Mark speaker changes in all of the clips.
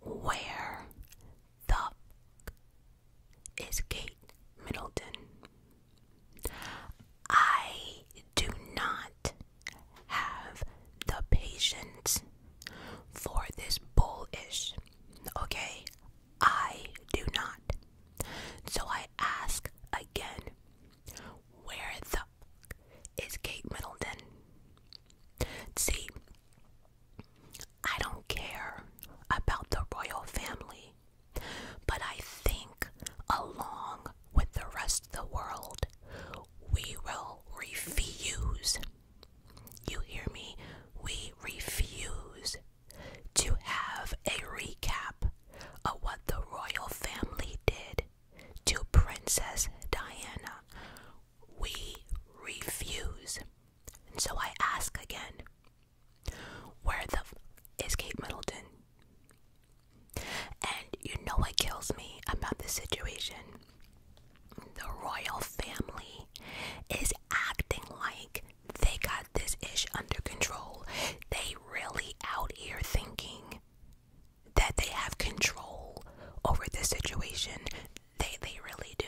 Speaker 1: Where the is Kate Middleton? I do not have the patience for this bullish. Okay, I do not. So I ask again, where the up is Kate Middleton. See, I don't care about the royal family, but I think along with the rest of the world, we will refuse. You hear me? We refuse to have a recap of what the royal family did to Princess Diana. We refuse. And so I ask again, where the f is Kate Middleton? And you know what kills me about this situation? The royal family is acting like they got this ish under control. They really out here thinking that they have control over the situation. They they really do.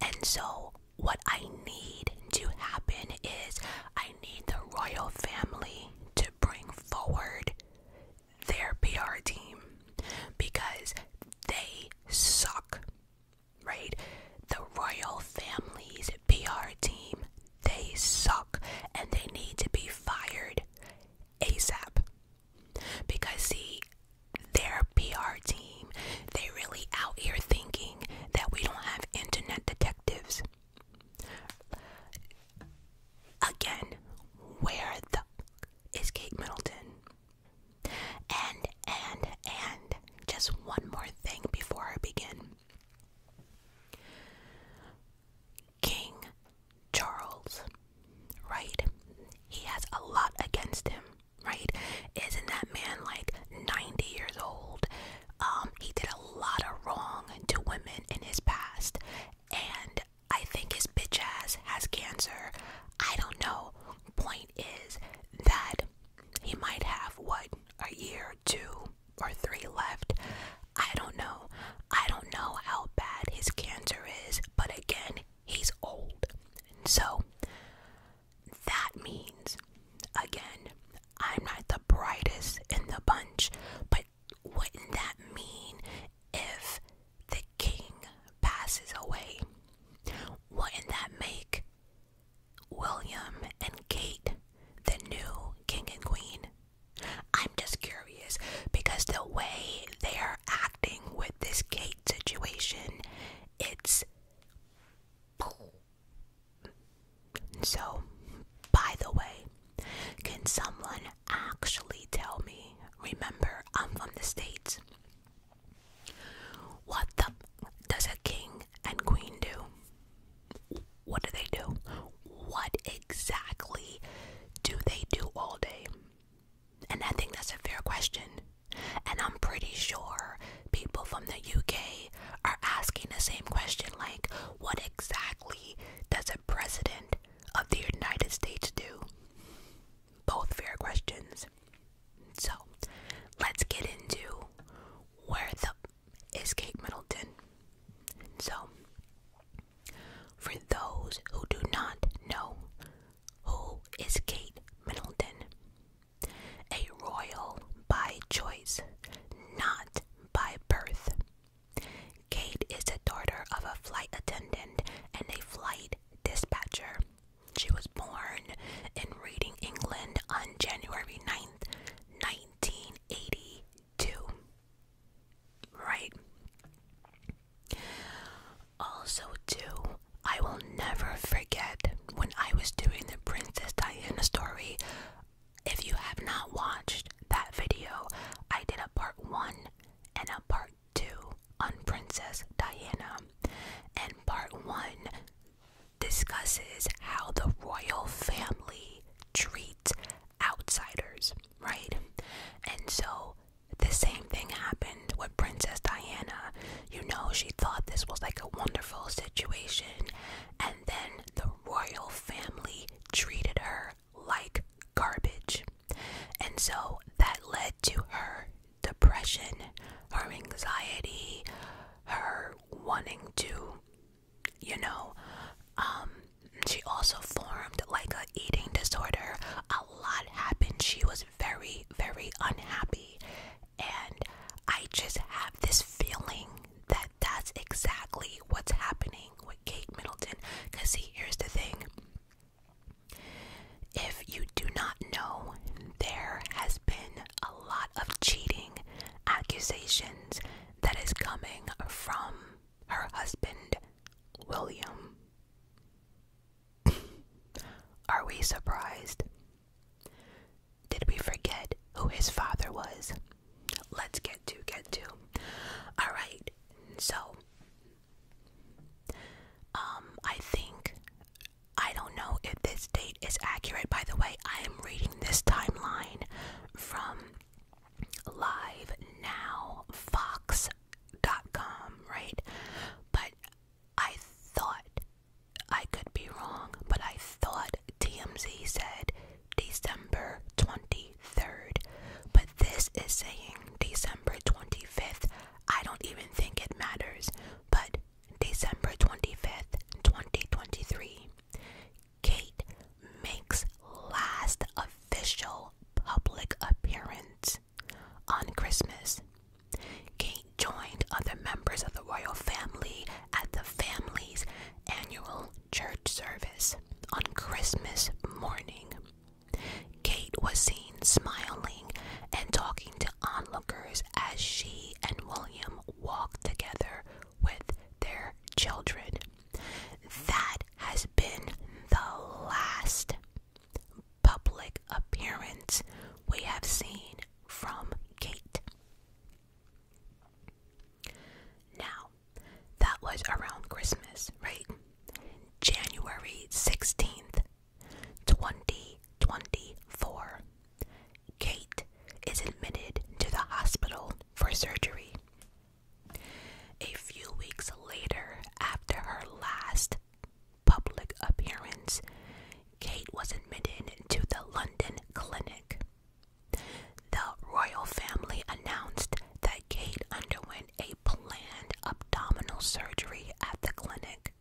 Speaker 1: And so what I need to happen is I need the royal family to bring forward their PR team because they suck. Right? The royal family's PR team they suck and they need to be fired ASAP. Because, see, their PR team, they really out here thinking that we don't have internet detectives. Again, where the is Kate Middleton? And, and, and, just one more thing before I begin. King Charles, right? He has a lot against him, right? Isn't that man like 90 years old? Um, he did a lot of wrong to women in his past, and I think his bitch ass has cancer. I don't know. Point is that he might have what a year or two or three left. I don't know. I don't know how bad his cancer is, but again, he's old. so that means, again, I'm not the brightest in the bunch, but wouldn't that mean if the king passes away? Wouldn't that make William and Kate the new king and queen? I'm just curious because the way they are acting with this Kate situation, it's. So, by the way, can someone actually tell me? Remember, I'm from the States. What the does a king and queen do? What do they do? What exactly do they do all day? And I think that's a fair question. And I'm pretty sure people from the UK are asking the same question like, what exactly does a president of the United States do? Both fair questions. So let's get into where the is Kate Middleton. So for those who do not know, who is Kate Middleton? A royal by choice, not by birth. Kate is the daughter of a flight attendant and a flight dispatcher. She was born in Reading, England on January 9th, 1982. Right? Also, too, I will never forget when I was doing the Princess Diana story. If you have not watched that video, I did a part one and a part two on Princess Diana. And part one discusses how the royal family treats outsiders, right? And so the same thing happened with Princess Diana. You know, she thought this was like a wonderful situation, and then the royal family treated her like garbage. And so that led to her depression, her anxiety, her wanting to, you know, um, she also formed like a eating disorder. A lot happened. She was very, very unhappy. And I just have this feeling that that's exactly what's happening with Kate Middleton. Because, see, here's the thing if you do not know, there has been a lot of cheating accusations that is coming from her husband, William. Are we surprised? Did we forget who his father was? Let's get to get to. All right. So um I think I don't know if this date is accurate by the way. I am reading this timeline from Live Now fox. dot com, right? But I thought I could be wrong, but I thought TMZ said December 23rd, but this is saying December 25th. I don't even think it matters, but December 25th, 2023. Kate makes last official public appearance on Christmas. Kate joined other members of the royal family at the family's annual church service on Christmas morning. Kate was seen smiling and talking to onlookers as she and William walked together with their children. That has been the last public appearance we have seen from Kate. Now, that was around Christmas, right? January 16th, 2024. Kate is admitted to the hospital for surgery. A few weeks later, after her last public appearance, Kate was admitted to the London clinic. The royal family announced that Kate underwent a planned abdominal surgery at the clinic.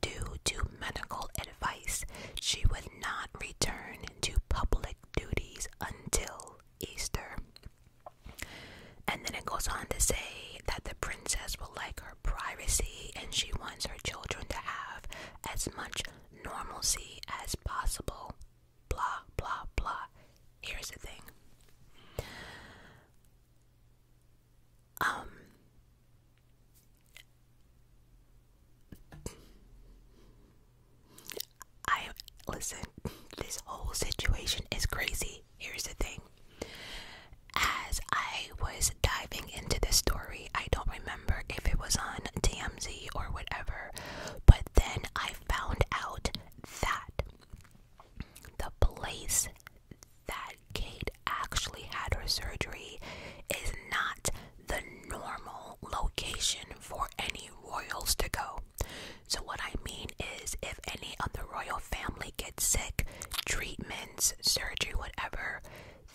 Speaker 1: Due to medical advice, she would not return to public duties until Easter. And then it goes on to say that the princess will like her privacy and she wants her children to have as much normalcy as possible. Blah, blah, blah. Here's the thing. Um, I listen, this whole situation is crazy. Here's the thing. As I was diving into the story, I don't remember if it was on TMZ or whatever, but then I found out that the place that Kate actually had her surgery is not the normal location for any royals to go. So, what I mean is, if any of the royal family gets sick, treatments, surgery, whatever,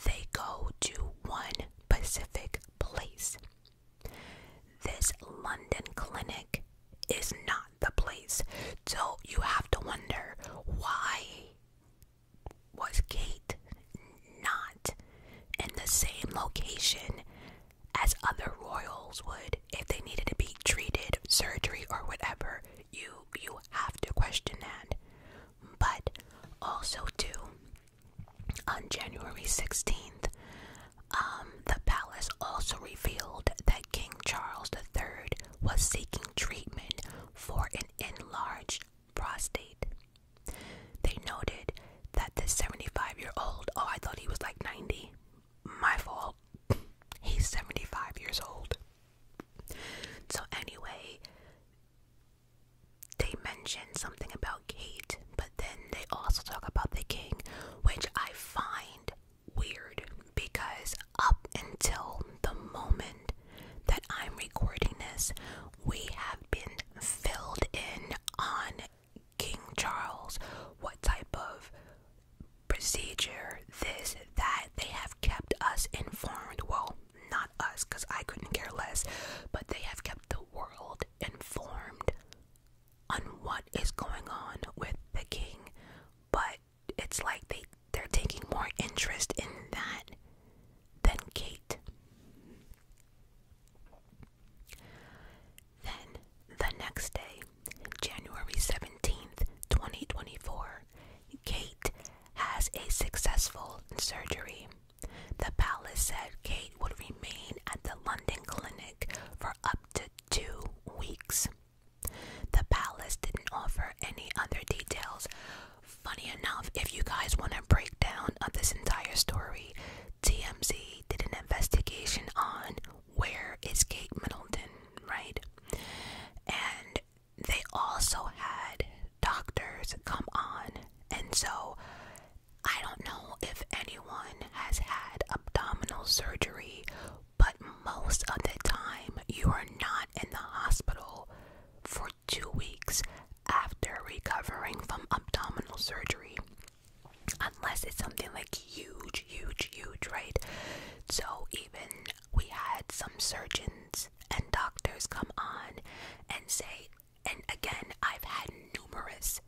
Speaker 1: they go to one specific place. This London clinic is not the place. So, you have to wonder why was Kate not in the same location as other royals would if they needed to be treated, surgery or whatever. You you have to question that. But also too, on January 16th, um, the palace also revealed that King Charles III was seeking treatment for an enlarged prostate. They noted that the 75 year old, oh, I thought he was like 90, my fault. He's 75 years old. So, anyway, they mention something about Kate, but then they also talk about the king, which I find weird because up until the moment that I'm recording this, we have been filled in on King Charles, what type of procedure, this, that. They have kept us informed. Well, not us, because I couldn't care less, but they have kept the world informed on what is going on with the king. But it's like they, they're taking more interest in that than Kate. Then, the next day, January 17th, 2024, Kate has a successful surgery. The palace said Kate would remain at the London clinic for up to two weeks. The palace didn't offer any other details. Funny enough, if you guys want a breakdown of this entire story, TMZ did an investigation on where is Kate Middleton, right? And they also had doctors come on, and so I don't know if anyone has had abdominal surgery, but most of the time you are not in the hospital for two weeks after recovering from abdominal surgery unless it's something like huge, huge, huge, right? So even we had some surgeons and doctors come on and say, and again, I've had numerous.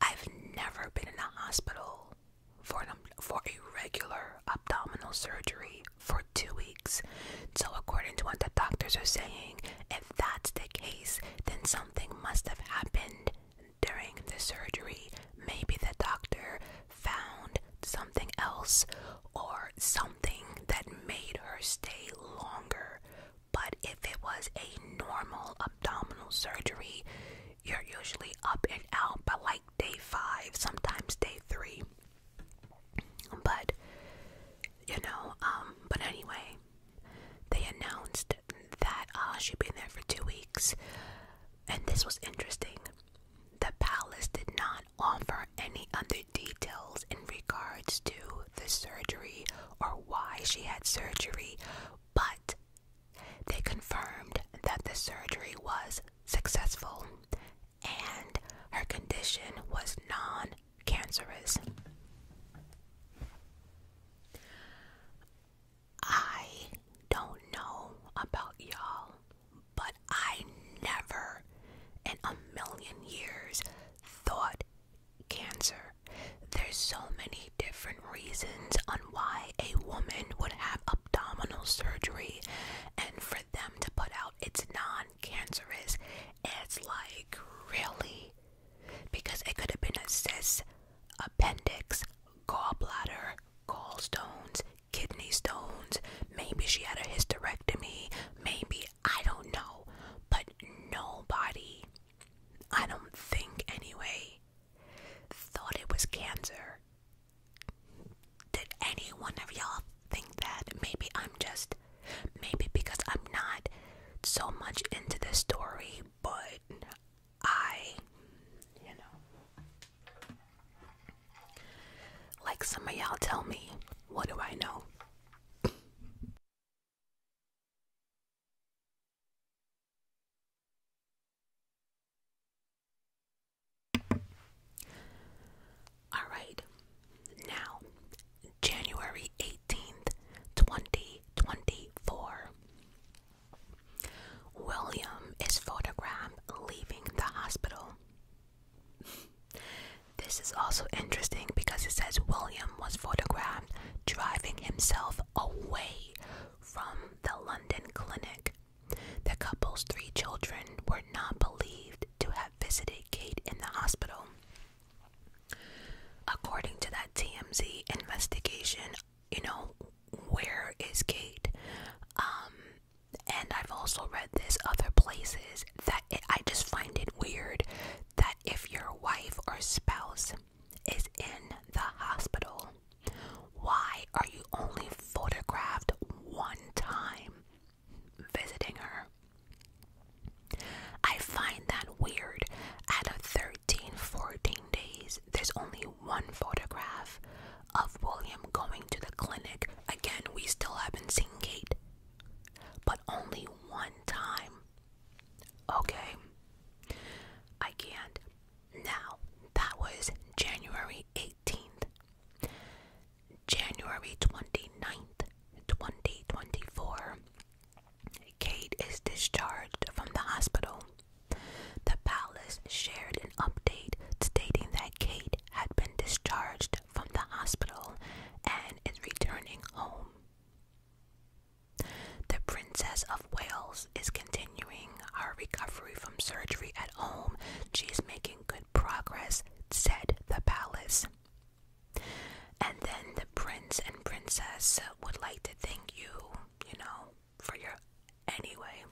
Speaker 1: I've never been in a hospital for for a regular abdominal surgery for two weeks. So according to what the doctors are saying, if that's the case, then something must have happened during the surgery, maybe the doctor found something else or something that made her stay longer. But if it was a normal abdominal surgery, you're usually up and out by like day five, sometimes day three. But you know, um, but anyway, they announced that uh, she'd been there for two weeks, and this was interesting. The palace did not offer any other details in regards to the surgery or why she had surgery, but they confirmed that the surgery was successful and her condition was non cancerous. I don't know about y'all, but I never in a million years thought cancer. There's so many different reasons on why a woman would have abdominal surgery, and for them to put out it's non cancerous, it's like really? Because it could have been a cyst, appendix, gallbladder, gallstones, kidney stones. Maybe she had a hysterectomy. Maybe, I don't know. But nobody, I don't think anyway, thought it was cancer. Did any one of y'all think that? Maybe I'm just, maybe because I'm not so much into this story, but I, you know, like some of y'all tell me, what do I know? All right, now January 18th, William is photographed leaving the hospital. This is also interesting because it says William was photographed driving himself away from the London clinic. The couple's three children were not believed to have visited Kate in the hospital. According to that TMZ investigation, you know, where is Kate? Um, and I've also read this other places that I just find it weird that if your wife or spouse is in the hospital, why are you only photographed one time visiting her? I find that weird. Out of 30 14 days there's only one photograph of William going to the clinic again we still haven't seen Kate but only one time okay I can't now that was January 18th January 29th 2024 Kate is discharged from the hospital the palace shared an update stating that Kate had been discharged from the hospital and is returning home. The Princess of Wales is continuing her recovery from surgery at home. She's making good progress, said the palace. And then the prince and princess would like to thank you, you know, for your anyway.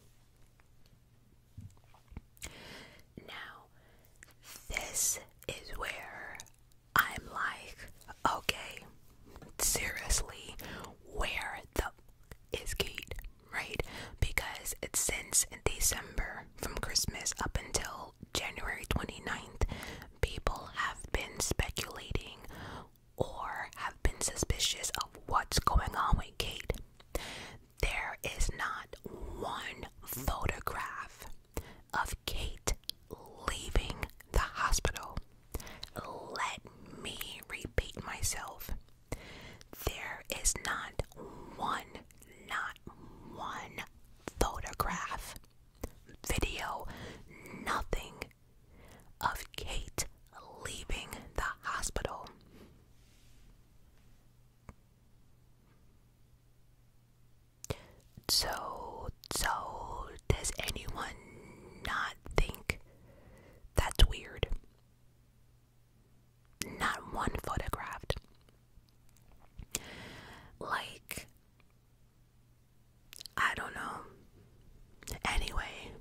Speaker 1: Now, this is where I'm like, okay, seriously, where the is Kate, right? Because it's since December, from Christmas up until January 29th, people have been speculating or have been suspicious of what's going on with Kate. There is not one photograph of Kate leaving the hospital. Let me repeat myself. There is not one, not one photograph, video, nothing of Kate leaving the hospital. So, so does anyone not think that's weird? Not one photographed. Like, I don't know. Anyway,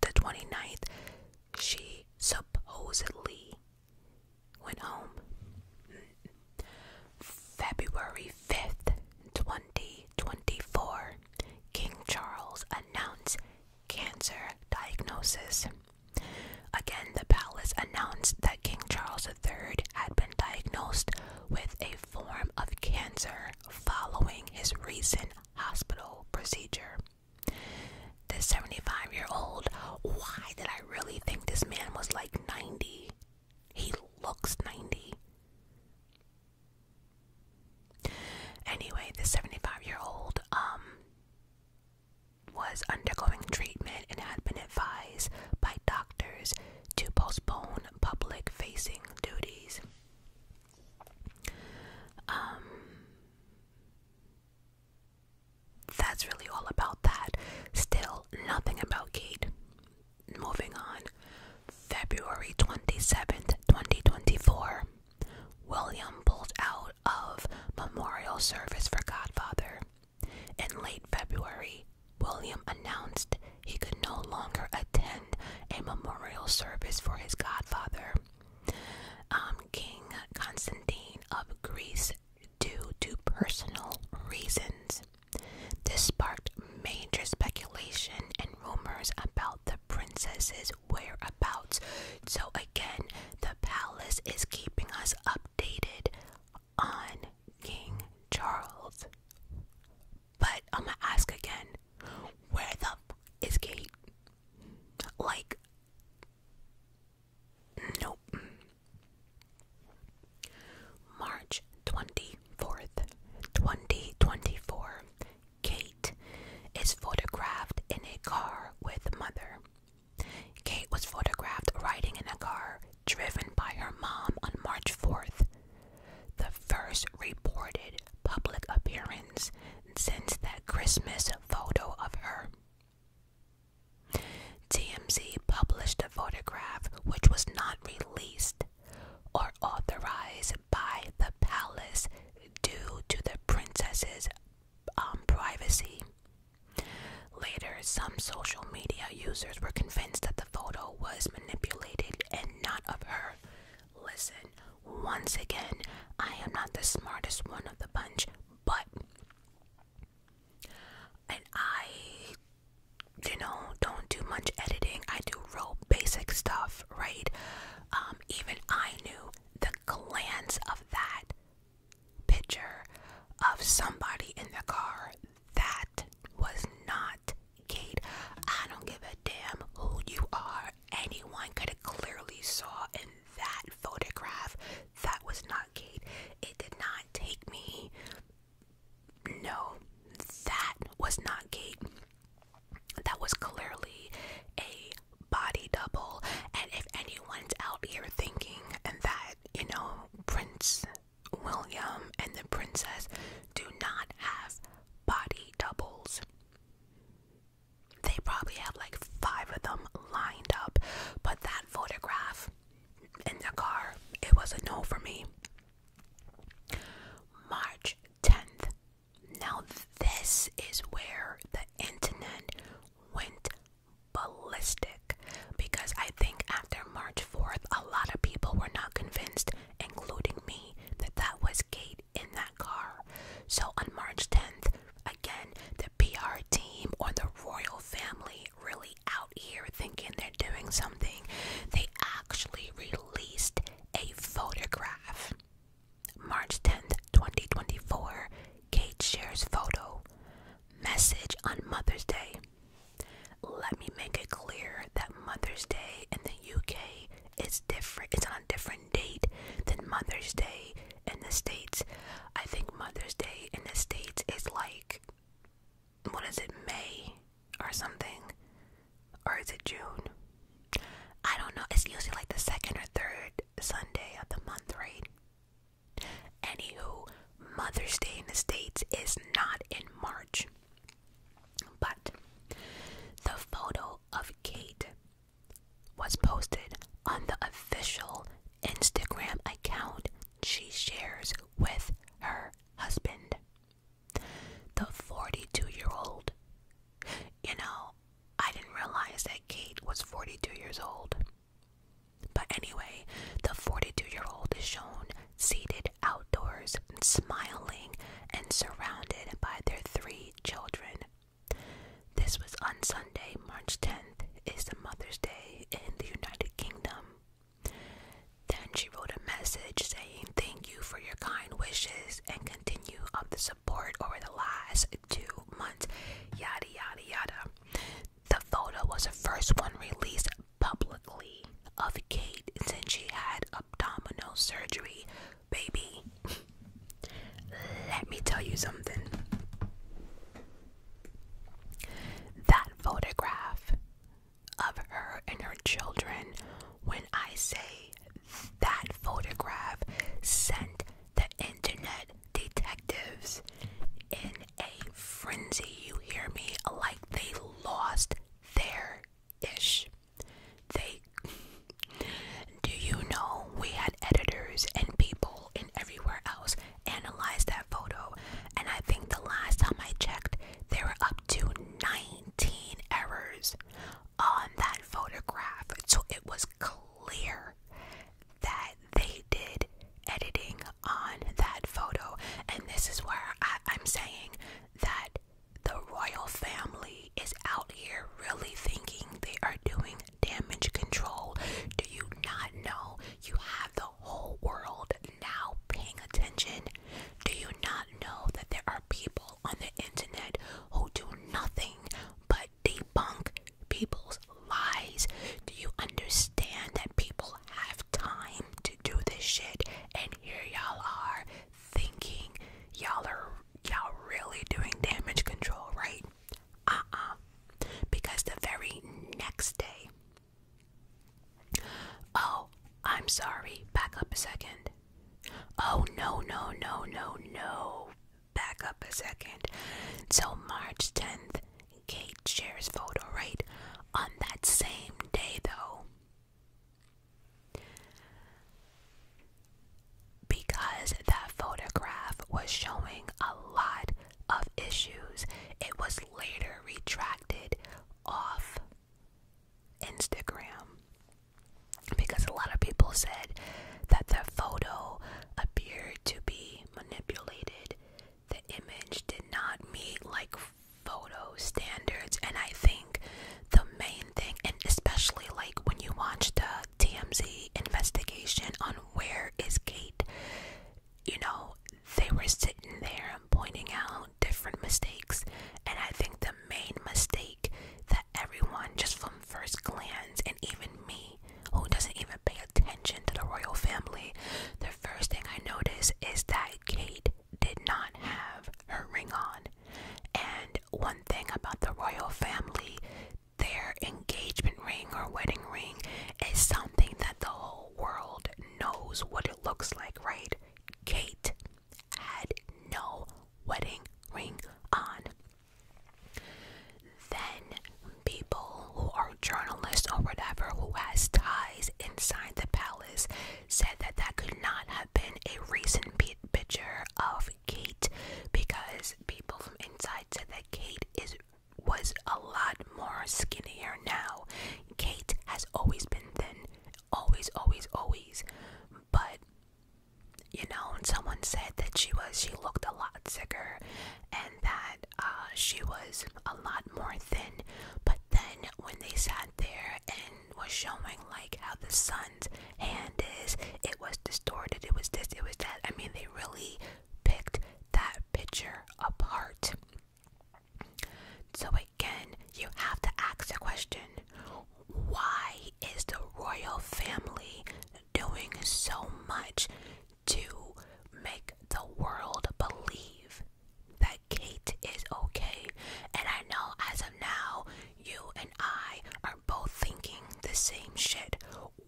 Speaker 1: the 29th, she supposedly went home. February 5th, 2024, King Charles announced cancer diagnosis. Again, the palace announced that King Charles III had been diagnosed with a form of cancer following his recent hospital procedure. This 75 year old, why did I really think this man was like 90? He looks 90. Anyway, the 75 year old um, was undergoing treatment and had been advised by doctors to postpone public facing duties. Um, that's really all about that. Still, nothing about Kate. Moving on. February 27th, 2024. William pulled out of memorial service for Godfather. In late February, William announced he could no longer attend a memorial service for his godfather um, King Constantine of Greece due to personal reasons. This sparked major speculation and rumors about the princess's whereabouts. So, again, the palace is keeping us updated on King Charles. But I'm gonna ask again where the is Kate? Like, nope. March 24th, 2024. Kate is photographed in a car with mother. Kate was photographed riding in a car driven by her mom on March 4th. The first reported public appearance since that Christmas photo of her. TMZ published a photograph which was not released or authorized by the palace due to the princess's um, privacy. Later, some social media users were convinced that the photo was manipulated and not of her. Listen, once again, I am not the smartest one of the bunch, but and I you know don't do much editing. I do real basic stuff, right? Um, even I knew the glance of that picture of somebody in the car that was not Kate. I don't give a damn who you are anyone could have clearly saw in that photograph that was not Kate. It did not take me. No, that was not Kate. That was clearly a body double. And if anyone's out here thinking that, you know, Prince William and the princess do not have body doubles. They probably have like five of them lined up, but that photograph in the car, it was a no for me. March 10th. Now, this is where the internet went ballistic because I think after March 4th, a lot of people were not convinced, including me, that that was Kate in that car. So on March 10th, again, the PR team or the royal family really out here thinking they're doing something. They actually released a photograph. March 10th, 2024, Kate shares photo. Message on Mother's Day. Let me make it clear that Mother's Day in the UK is it's different. It's on a different date than Mother's Day in the States. I think Mother's Day in the States is like, what is it, May or something? Or is it June? I don't know. It's usually like the second or third Sunday of the month, right? Anywho, Mother's Day in the States is not in March. But the photo of Kate was posted on the official Instagram account she shares with her husband. The 42 year old. You know, I didn't realize that Kate was 42 years old. But anyway, the 42 year old is shown seated outdoors, smiling, and surrounded by their three children this was on Sunday, March 10th, is the Mother's Day in the United Kingdom. Then she wrote a message saying thank you for your kind wishes and continue of the support over the last two months. Yada yada yada. The photo was the first one released publicly of Kate since she had abdominal surgery baby. Let me tell you something. That photograph of her and her children, when I say that photograph sent the internet detectives in a frenzy, you hear me, like they lost their ish. They do you know we had editors and people in everywhere else analyze that photo? And I think the last time I checked, there were up to 19 errors on that photograph. So it was clear that they did editing on that photo. And this is where I'm saying that the royal family is out here really thinking they are doing damage control. Do you not know you have the whole world now paying attention? Do you not know that there are people on the internet who do nothing but debunk people's lies? Do you understand that people have time to do this shit? And here y'all are thinking y'all are y'all really doing damage control, right? uh-uh because the very next day oh i'm sorry back up a second oh no no no no no back up a second so march 10th kate shares photo right on that same day though because that photograph was showing a lot of issues, it was later retracted off Instagram. Because a lot of people said that the photo appeared to be manipulated, the image did not meet like photo standards, and I think the main thing, and especially like when you watch the TMZ investigation on where is Kate. You know, they were sitting there pointing out different mistakes, and I think the main mistake that everyone, just from first glance, and even me, who doesn't even pay attention to the royal family, the first thing I notice is that Kate did not have her ring on. And one thing about the royal family, their engagement ring or wedding ring is something that the whole world knows what it looks like, right? Kate had no wedding ring on. Then people who are journalists or whatever who has ties inside the palace said that that could not have been a recent picture of Kate because people from inside said that Kate is was a lot more skinnier now. Kate has always been thin, always, always, always. But you know, when someone said that she was she looked a lot sicker and that uh, she was a lot more thin. But then when they sat there and was showing like how the suns hand is, it was distorted, it was this, it was that. I mean, they really picked that picture apart. So, again, you have to ask the question why is the royal family doing so much to make the world believe that Kate is okay? And I know as of now, you and I are both thinking the same shit.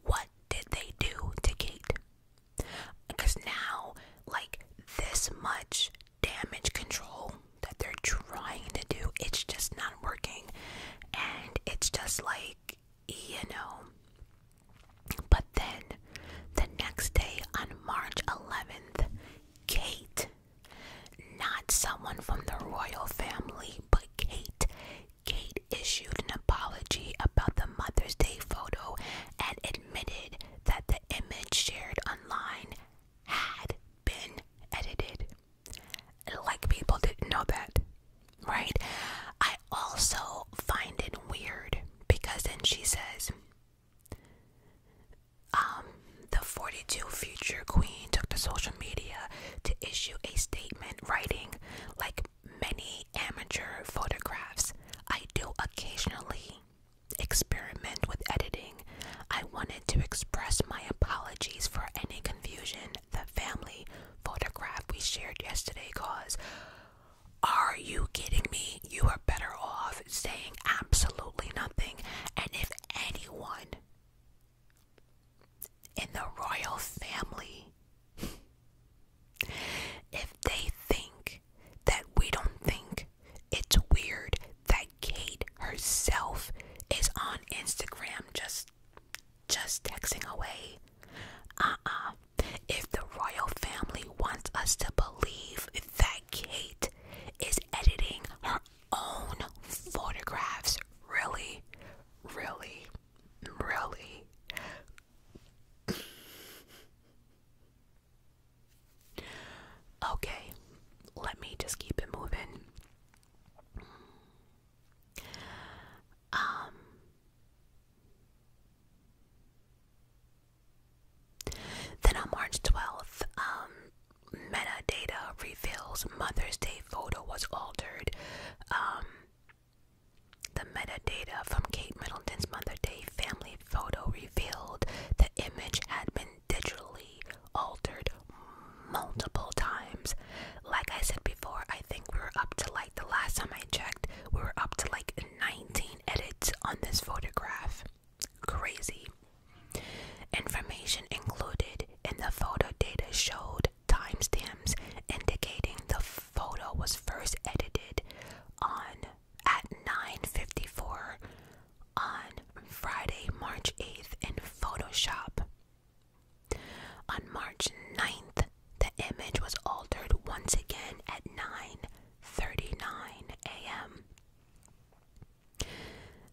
Speaker 1: What did they do to Kate? Because now, like, this much damage control that they're trying to do, it's just not working. And it's just like, you know. But then, the next day on March 11th, Kate, not someone from the royal family, but Kate, Kate issued an apology about the Mother's Day photo and admitted that the image shared online had been edited. Like people didn't know that, right? I also find it weird because then she says, um, the 42 future queen took to social media to issue a statement writing, like, many amateur photographs. I do occasionally experiment with editing. I wanted to express my apologies for any confusion the family photograph we shared yesterday caused. Are you kidding me? You are better off saying absolutely nothing. And if anyone in the royal family if they think that we don't think it's weird that Kate herself is on Instagram just just texting away uh-uh if the royal family wants us to believe that Kate is editing her own photographs really really Really? okay, let me just keep it moving. Um Then on March 12th, um metadata reveals Mother's Day photo was altered. Um the metadata from Kate Middleton's Mother Day family photo revealed the image had been digitally altered multiple times. Like I said before, I think we were up to like the last time I checked, we were up to like 19 edits on this photograph. Crazy. Information included in the photo data showed timestamps indicating the photo was first edited on at 9:54 on Friday, March 8th in Photoshop. On March 9th, the image was altered once again at 9:39 a.m.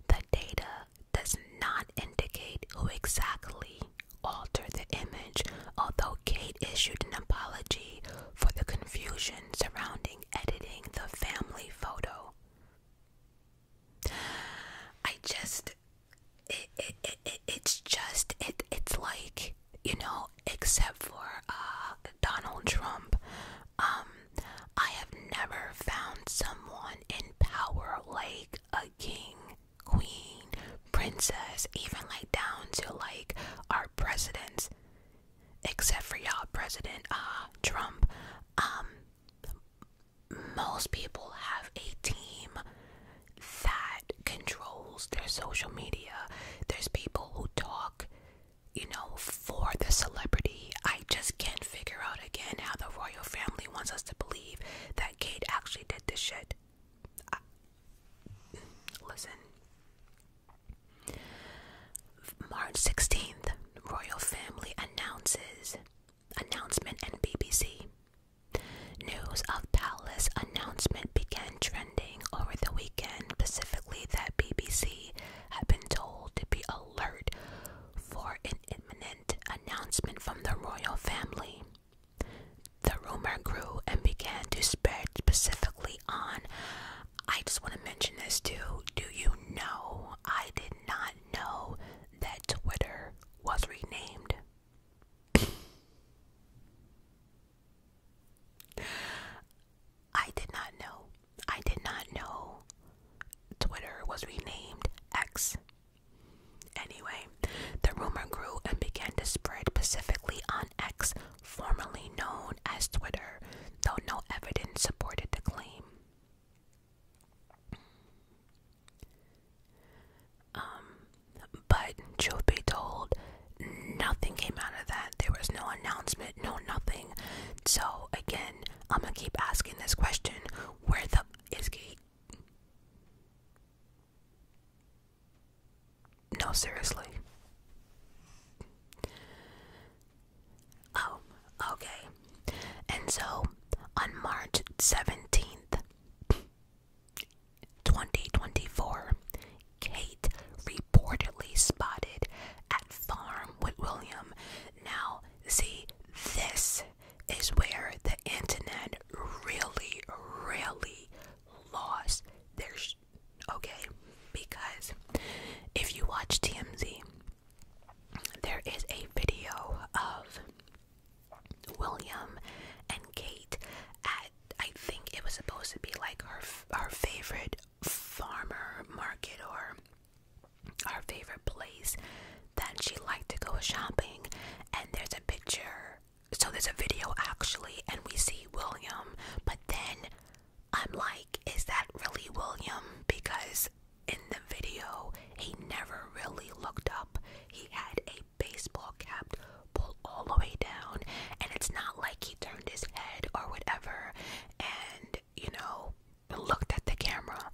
Speaker 1: The data does not indicate who exactly alter the image, although Kate issued an apology for the confusion surrounding editing the family photo. I just, it, it, it, it's just, it, it's like, you know, except for uh, Donald Trump, um, I have never found someone in power like a king queen, princess, even like down to like our presidents, except for y'all president Ah Trump. Um most people have a team that controls their social media. There's people who talk, you know, for the celebrity. I just can't figure out again how the royal family wants us to believe that Kate actually did this shit. Listen. March 16th, royal family announces announcement in BBC. News of palace announcement began trending over the weekend, specifically that BBC had been told to be alert for an imminent announcement from the royal family. The rumor grew and began to spread specifically on. I just want to mention this too. Do you know? I did not know that Twitter was renamed. I did not know. I did not know Twitter was renamed X. Anyway, the rumor grew and began to spread specifically on X, formerly known as Twitter, though no evidence supported the claim. Um, but truth be told, nothing came out of that. There was no announcement, no nothing. So again, I'm gonna keep asking this question: Where the is Kate? No, seriously. Oh, okay. And so on March 17th, 2024, Kate reportedly spotted at Farm with William. Now, see, this is where the internet really, really Loss, there's okay because if you watch TMZ there is a video of William and Kate at I think it was supposed to be like her our favorite farmer market or our favorite place that she liked to go shopping and there's a picture so there's a video actually, and we see William, but then I'm like, is that really William? Because in the video, he never really looked up. He had a baseball cap pulled all the way down, and it's not like he turned his head or whatever and, you know, looked at the camera.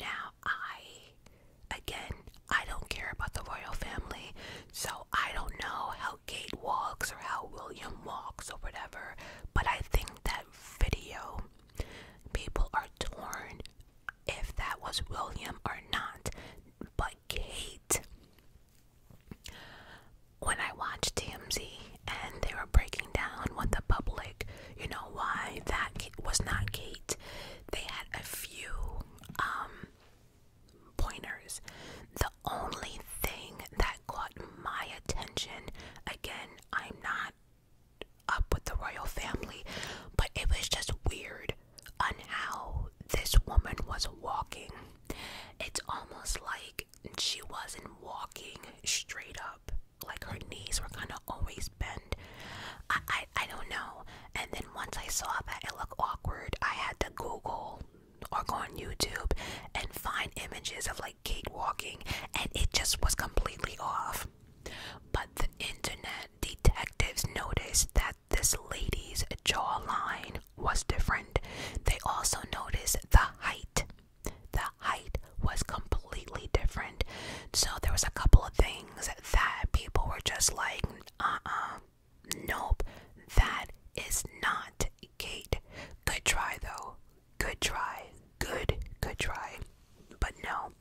Speaker 1: Now, I, again, I don't care about the royal family, so I don't know how Kate walks or how William walks or whatever, but I think that video, people are torn if that was William or not. But Kate, when I watched TMZ and they were breaking down what the public, you know, why that was not Kate, they had a few, um, pointers. The only thing that caught my attention, again, I'm not up with the royal family, but it was just weird on how this woman was walking. It's almost like she wasn't walking straight up, like her knees were kind of always bent. I, I I don't know. And then once I saw that it looked awkward, I had to Google or go on YouTube and find images of like gate walking, and it just was completely off. But the internet detectives noticed that this lady's jawline was different. They also noticed the height. The height was completely different. So there was a couple of things that people were just like, uh-uh, Nope, that is not Kate. Good try, though. Good try. Good, good try. But no.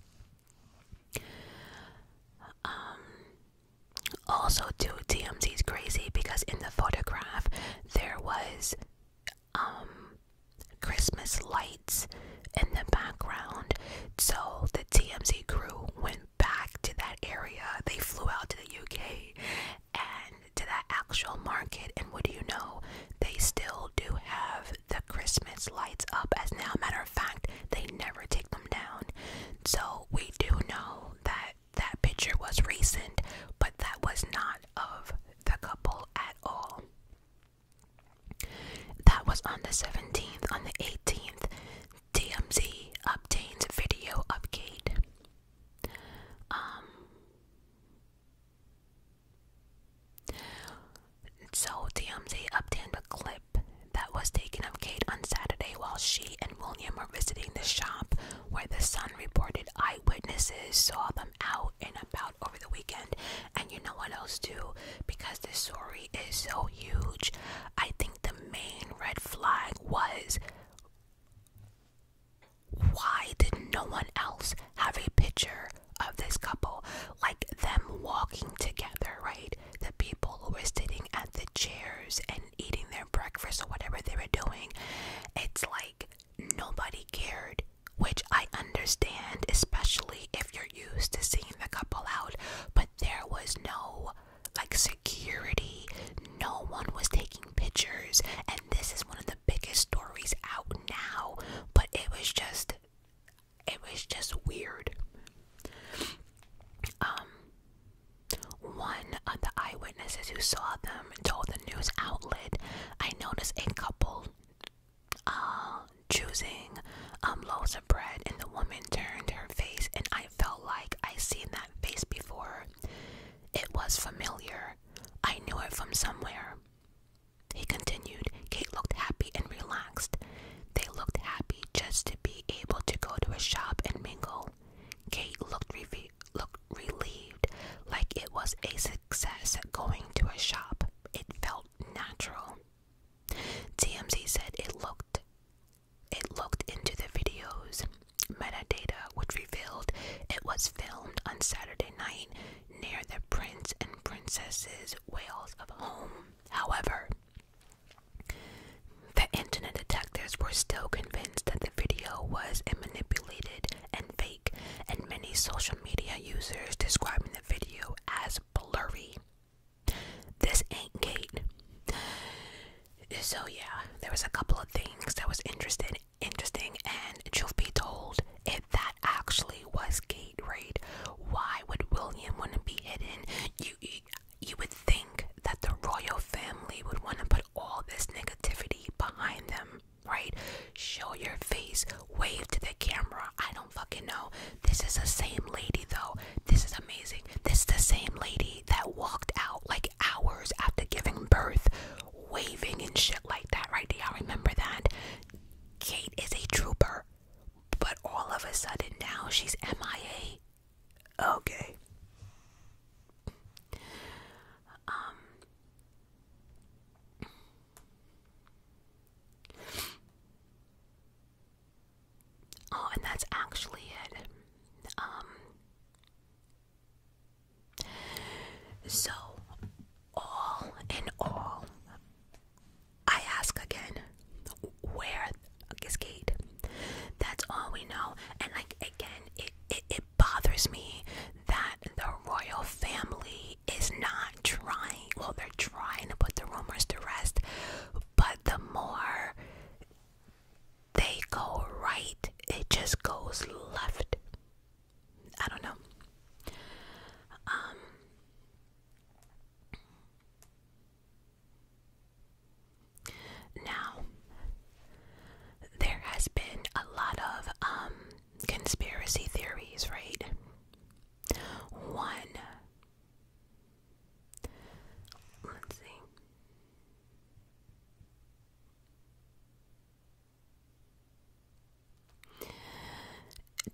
Speaker 1: Um, also, too, is crazy because in the photograph there was um, Christmas lights in the background. So the TMZ crew went back to that area. They flew out to the UK and to that actual market. And what do you know? They still do have the Christmas lights up. As now, matter of fact, they never take them down. So we do know that that picture was recent, but that was not of the couple at all. That was on the 17th. On the 18th, TMZ obtains video of Kate. Um, so TMZ obtained a clip that was taken of Kate on Saturday while she and William were visiting the shop where the Sun reported eyewitnesses saw them out and about over the weekend. And you know what else too? Because this story is so huge, I think the main red flag was why did no one else have a picture of this couple? Like them walking together, right? The people who were sitting at the chairs and eating their breakfast or whatever they were doing. It's like nobody cared, which I understand, especially if you're used to seeing the couple out. But there was no like security, no one was taking pictures, and this is one of the biggest stories out now, but it was just it was just weird. Um one of the eyewitnesses who saw them told the news outlet, I noticed a couple uh choosing um loaves of bread and the woman turned her face and I felt like I seen that face before. It was familiar. I knew it from somewhere. He continued. Kate looked happy and relaxed. They looked happy just to be able to go to a shop and mingle. Kate looked, re looked relieved, like it was a success going to a shop. It felt natural. TMZ said it looked it looked into the video's metadata, which revealed it was filmed on Saturday night near the Prince and Princesses' Wales of home. However, the internet detectives were still convinced that the video was manipulated and fake, and many social media users describing the video as blurry. This ain't Kate. So yeah, there was a couple of things that was interesting, interesting, and you'll be told, if that actually was gate raid, why would William want to be hidden? you, you would think that the royal family would want to put all this negativity behind them, right? Show your face, wave to the camera. I don't fucking know. This is the same lady though. This is amazing. This is the same lady that walked out like hours after giving birth, waving and shit like that, right? Do y'all remember that? Kate is a trooper, but all of a sudden now she's MIA. Okay. Um. Oh, and that's actually it. Um, so, all in all, I ask again, where is Kate? That's all we know. And like again, it it bothers me that the royal family is not trying. Well, they're trying to put the rumors to rest, but the more they go right, it just goes left. I don't know. Um, now there has been a lot of um, conspiracy theories, right? One let's see.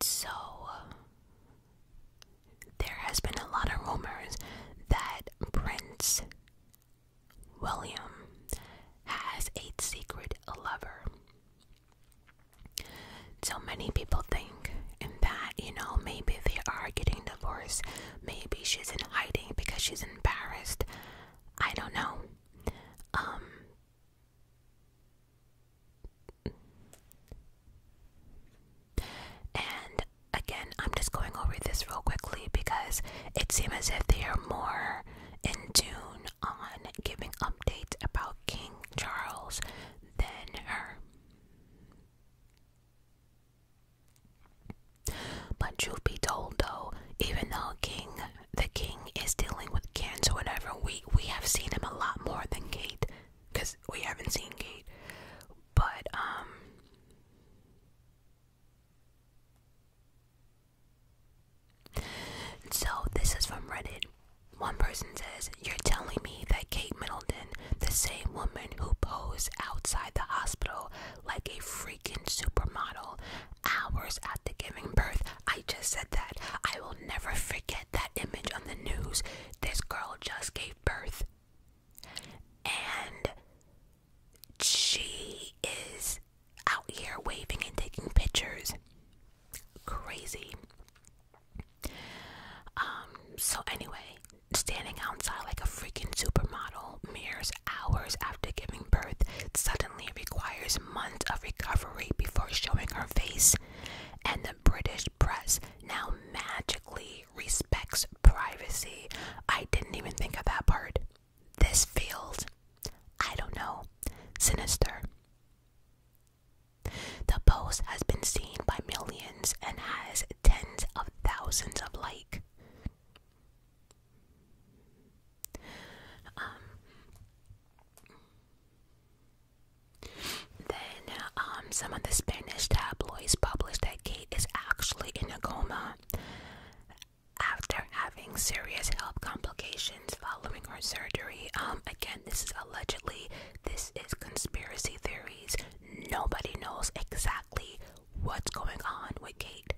Speaker 1: So, there has been a lot of rumors that Prince William has a secret lover. So many people think in that, you know, maybe they are getting divorced Maybe she's in hiding because she's embarrassed. I don't know. Um, and again, I'm just going over this real quickly because it seems as if they are more in tune on giving updates about King Charles than her. But truth be told, though, even though King, the King is dealing with cancer, whatever, we we have seen him a lot more than Kate, because we haven't seen Kate. But um. So, this is from Reddit. One person says, You're telling me that Kate Middleton, the same woman who posed outside the hospital like a freaking supermodel hours after giving birth. I just said that. I will never forget that image on the news. This girl just gave birth. And she is out here waving and taking pictures. Crazy. Um, so anyway, standing outside like a freaking supermodel mirrors hours after giving birth suddenly requires months of recovery before showing her face, and the British press now magically respects privacy. I didn't even think of that part. This feels, I don't know, sinister. The post has been seen by millions and has tens of thousands of like. Um, then um, some of the Spanish tabloids published that Kate is actually in a coma after having serious health complications following her surgery. Um, again, this is allegedly, this is conspiracy theories. Nobody knows exactly what's going on with Kate.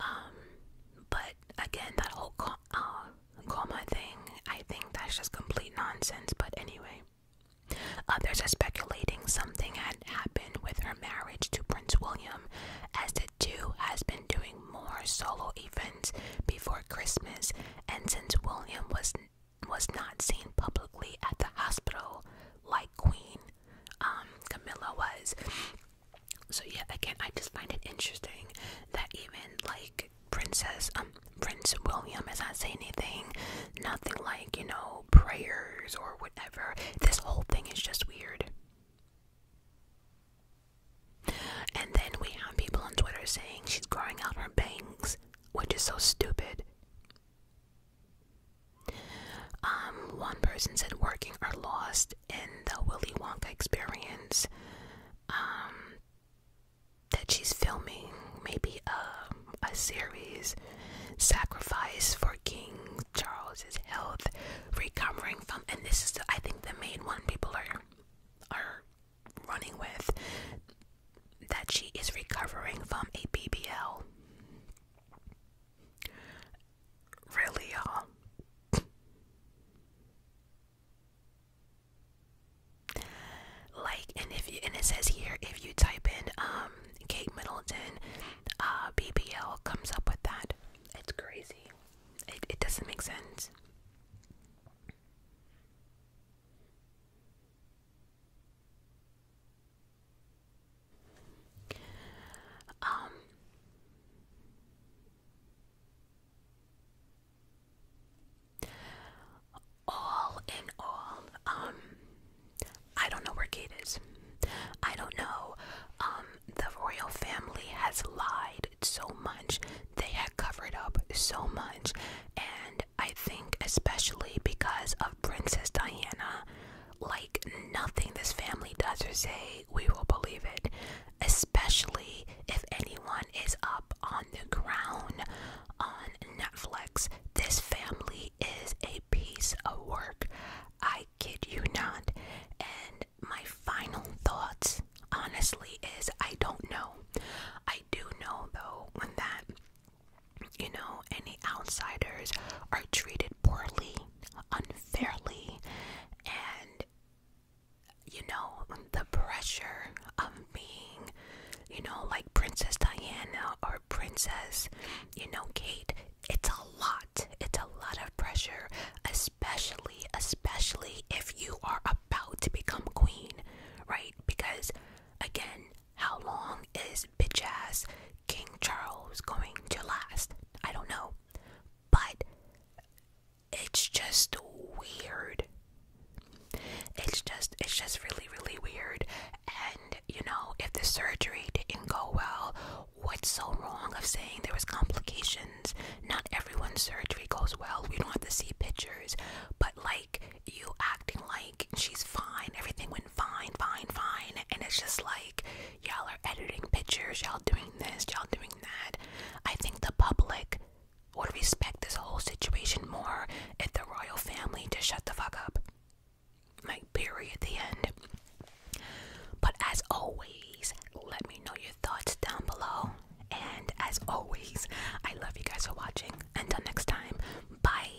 Speaker 1: Um, but again, that whole uh, coma thing, I think that's just complete nonsense. But anyway, others are speculating something had happened with her marriage to Prince William, as the two has been doing more solo events before Christmas, and since William was was not seen publicly at the hospital like Queen, um, Camilla was. So yeah, again, I just find it interesting that even like Princess, um, Prince William is not saying anything, nothing like you know prayers or whatever. This whole thing is just weird. And then we have people on Twitter saying she's growing out her bangs, which is so stupid. Um, one person said working are lost in the Willy Wonka experience. Um, that she's filming maybe a, a series, sacrifice for King Charles's health, recovering from, and this is I think the main one people are are running with that she is recovering from a PBL. Really, you like, and if you, and it says here, if you type in um Kate Middleton, uh, BBL comes up with that. It's crazy. It it doesn't make sense. Um, all in all, um, I don't know where Kate is. I don't know. Um, the royal family has lied so much. They have covered up so much, and I think especially because of Princess Diana, like nothing this family does or say we will believe it especially if anyone is up on the ground on netflix this family is a piece of work i kid you not and my final thoughts honestly is i don't know i do know though when that you know any outsiders are treated poorly unfairly and you know the pressure of being you know like princess diana or princess you know kate it's a lot it's a lot of pressure especially especially if you are about to become queen right because again how long is bitch ass king charles going to last I don't know. But it's just weird. It's just it's just really really weird and you know if the surgery didn't go well what's so wrong of saying there was complications not everyone's surgery goes well we don't have to see pictures but like you acting like she's fine everything went fine fine fine and it's just like y'all are editing pictures, y'all doing this, y'all doing that. I think the public would respect this whole situation more if the royal family just shut the fuck up. Like, period, the end. But as always, let me know your thoughts down below. And as always, I love you guys for watching. Until next time, bye.